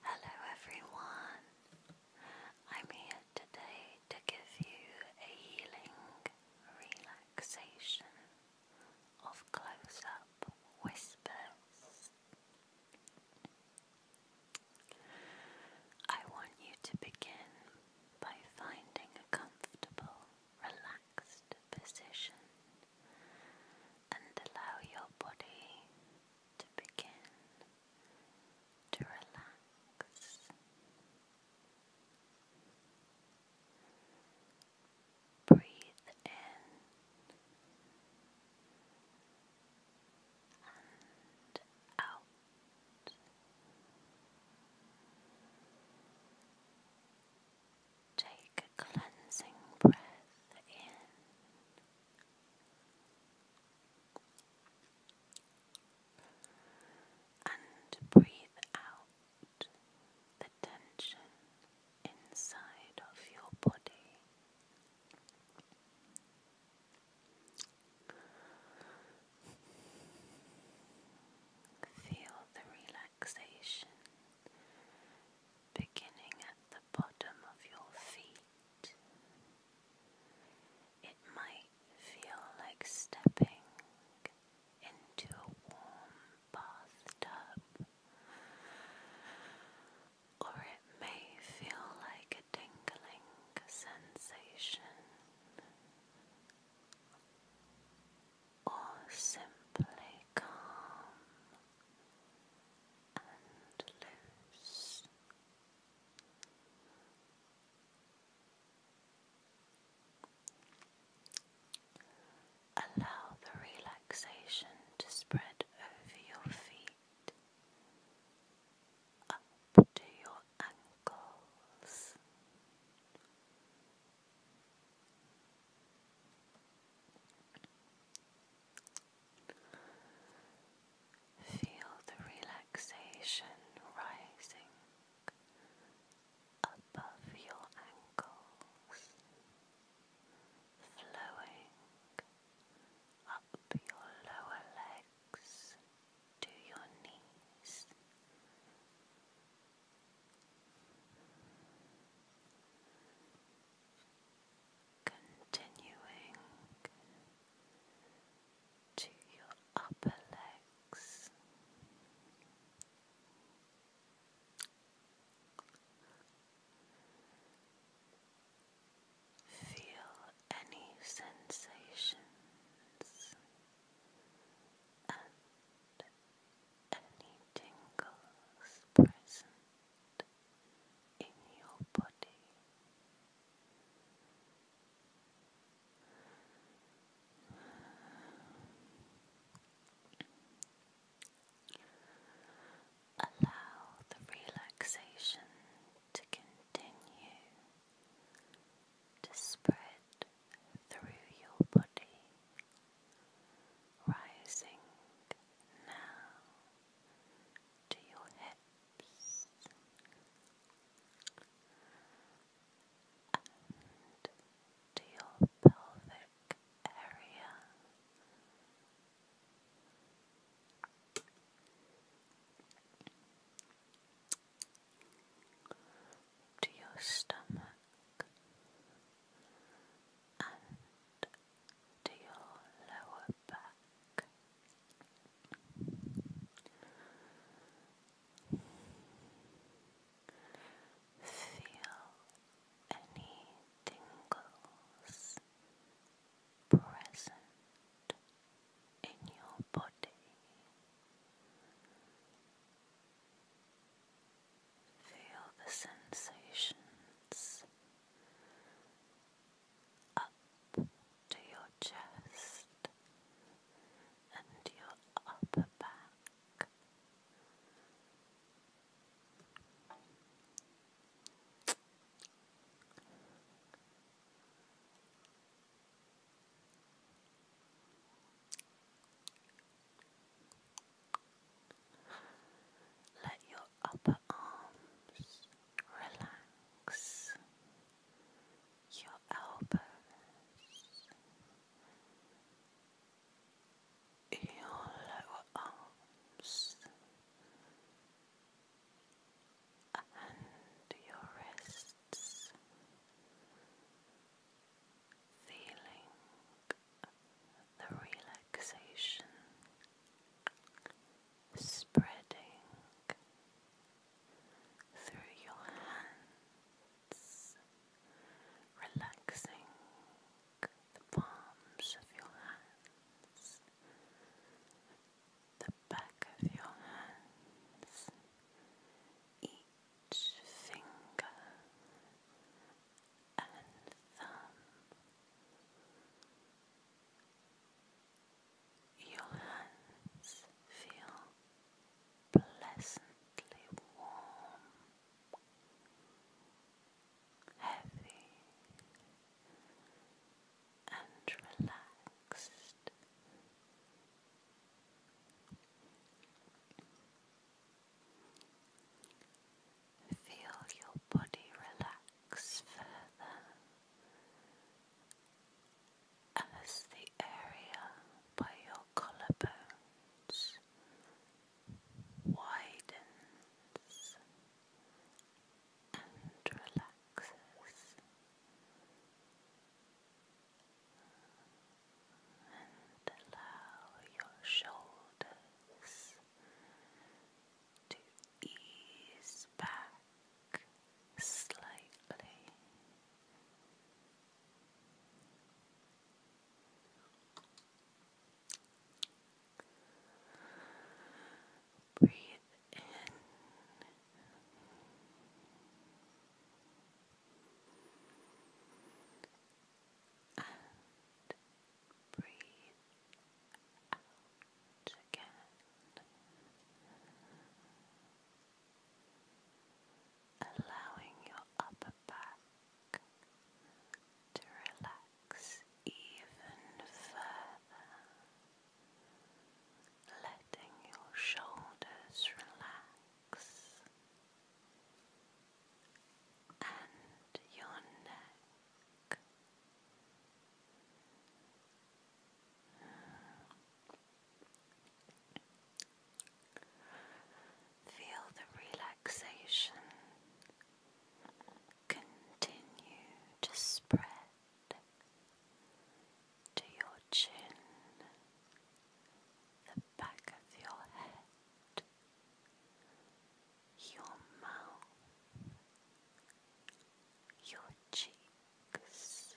Hello everyone, I'm here today to give you a healing relaxation of close up whispers. I want you to begin by finding a comfortable, relaxed position and allow your body to begin to relax. Breathe in and out. Take a cleansing breath in. And breathe out the tension inside of your body. Feel the relaxation beginning at the bottom of your feet. It might feel like stepping into a warm bathtub, or it may feel like a tingling sensation, or simply calm and loose. Allow the relaxation to spread over your feet, up to your ankles, Feel the relaxation rising above your ankles, flowing up your lower legs to your knees continuing to your upper legs. Feel any sensations and any tingles present in your body. Allow the relaxation to continue to spread through your body rising now to your hips and to your pelvic area. To your stomach, and to your lower back. Feel any tingles present in your body. Feel the sensations up to your chest and your upper back. Let your upper arms relax, your elbows, your lower arms, and your wrists. Feeling the relaxation spreading through your hands, relaxing the palms of your hands, the back of your hands, finger and thumb. Your hands feel pleasantly warm, heavy, and relaxed. Feel your body relax further as the area by your collarbones widens and relaxes and allow your shoulders to ease back slightly. Breathe in and breathe out again, allowing your upper back to relax even further. Letting your shoulders relax, and your neck. Feel the relaxation continue to spread to your chin, the back of your head your mouth, your cheeks, nose,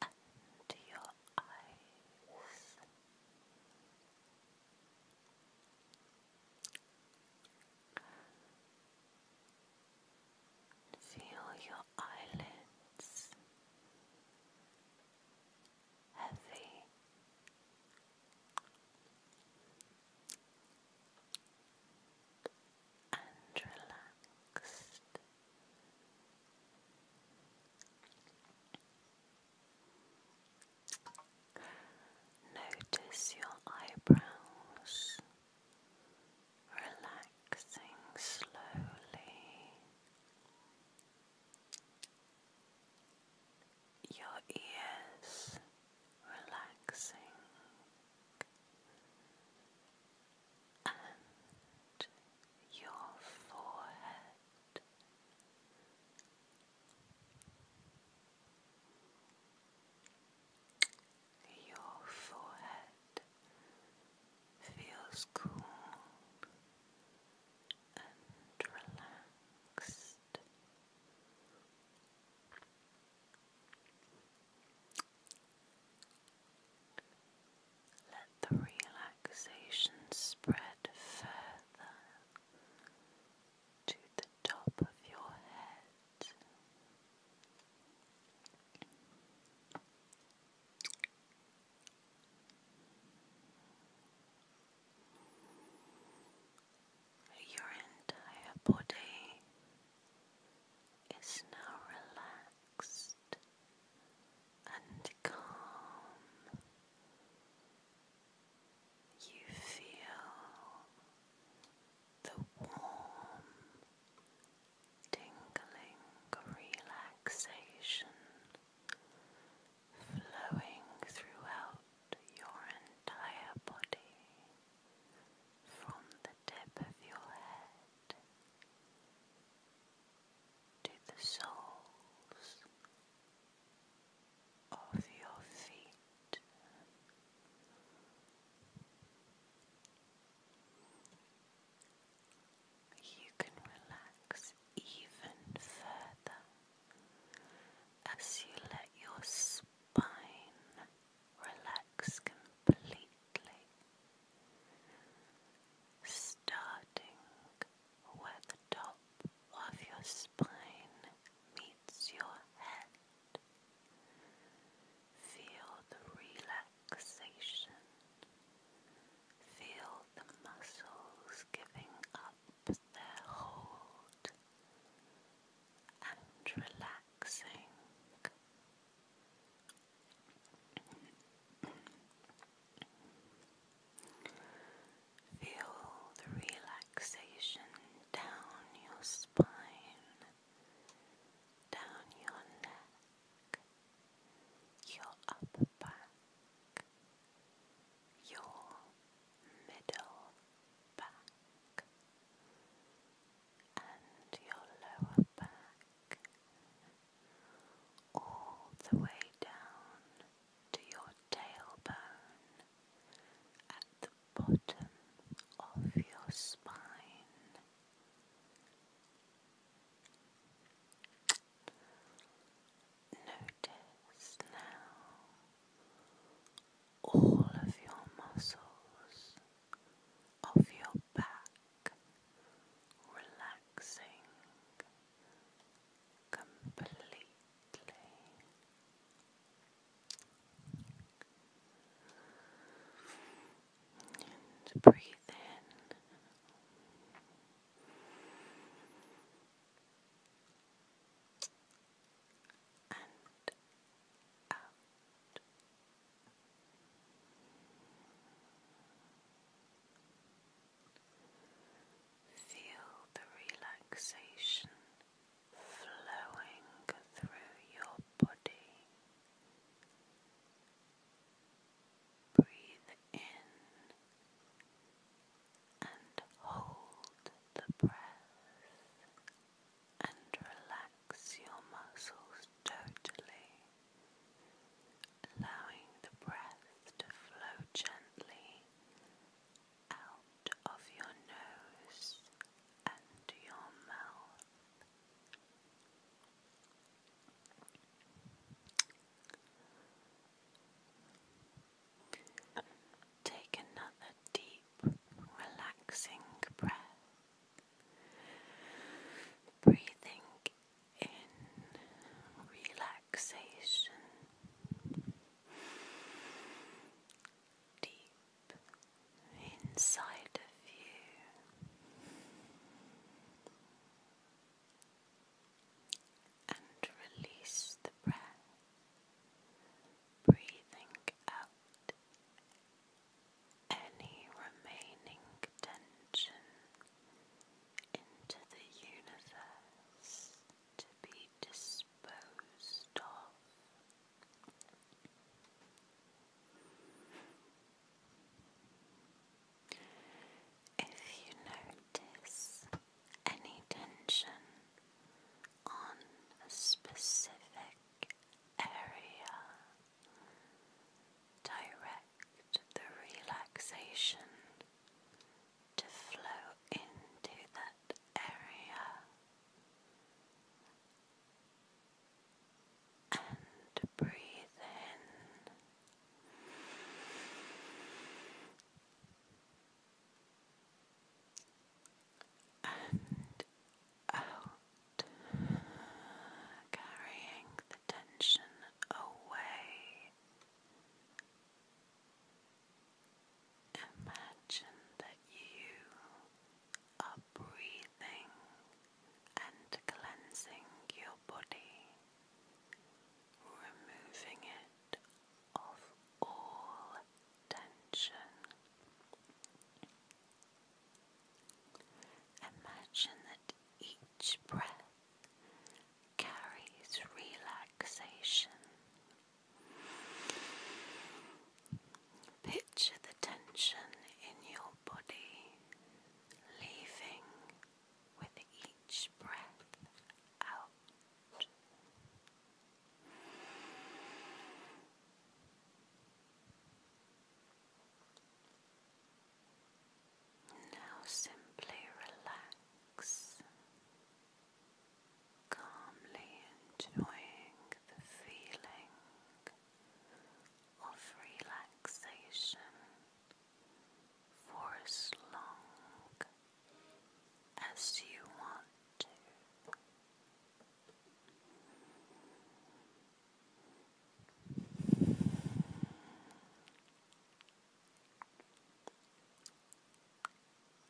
and your eyes. Feel your eyelids heavy. And relaxed. Notice your eyebrows relaxing slowly. Your ears relaxing and your forehead. Your forehead feels cool and relaxed. Let the relaxation spread further to the top of your head. Your entire body is now relaxed and calm. You feel the warm tingling relaxation flowing throughout your entire body from the tip of your head to the soles of your feet. You can relax even further as you let your spine relax completely, starting where the top of your spine meets your head. Feel the relaxation. Feel the muscles giving up their hold and relaxing. Feel the relaxation down your spine down your neck, your upper back, your middle back, and your lower back, all the way down to your tailbone bottom of your spine. Notice now all of your muscles of your back relaxing completely breathe in and out. Feel the relaxation flowing through your body. Breathe in and hold the breath and relax your muscles totally, allowing the breath to flow gently out of your nose and your mouth. Take another deep, relaxing breath. Breathing in relaxation, deep inside of you and release the breath, breathing out any remaining tension into the universe to be disposed of. If you notice any tension on a specific area, direct the relaxation to flow into that area and breathe in. And out, carrying the tension away Imagine that you are breathing and cleansing your body, removing it of all tension. Imagine that each breath carries relaxation Picture the tension in your body leaving with each breath out. Now simply relax calmly enjoying the feeling of relaxation for as long as you want to.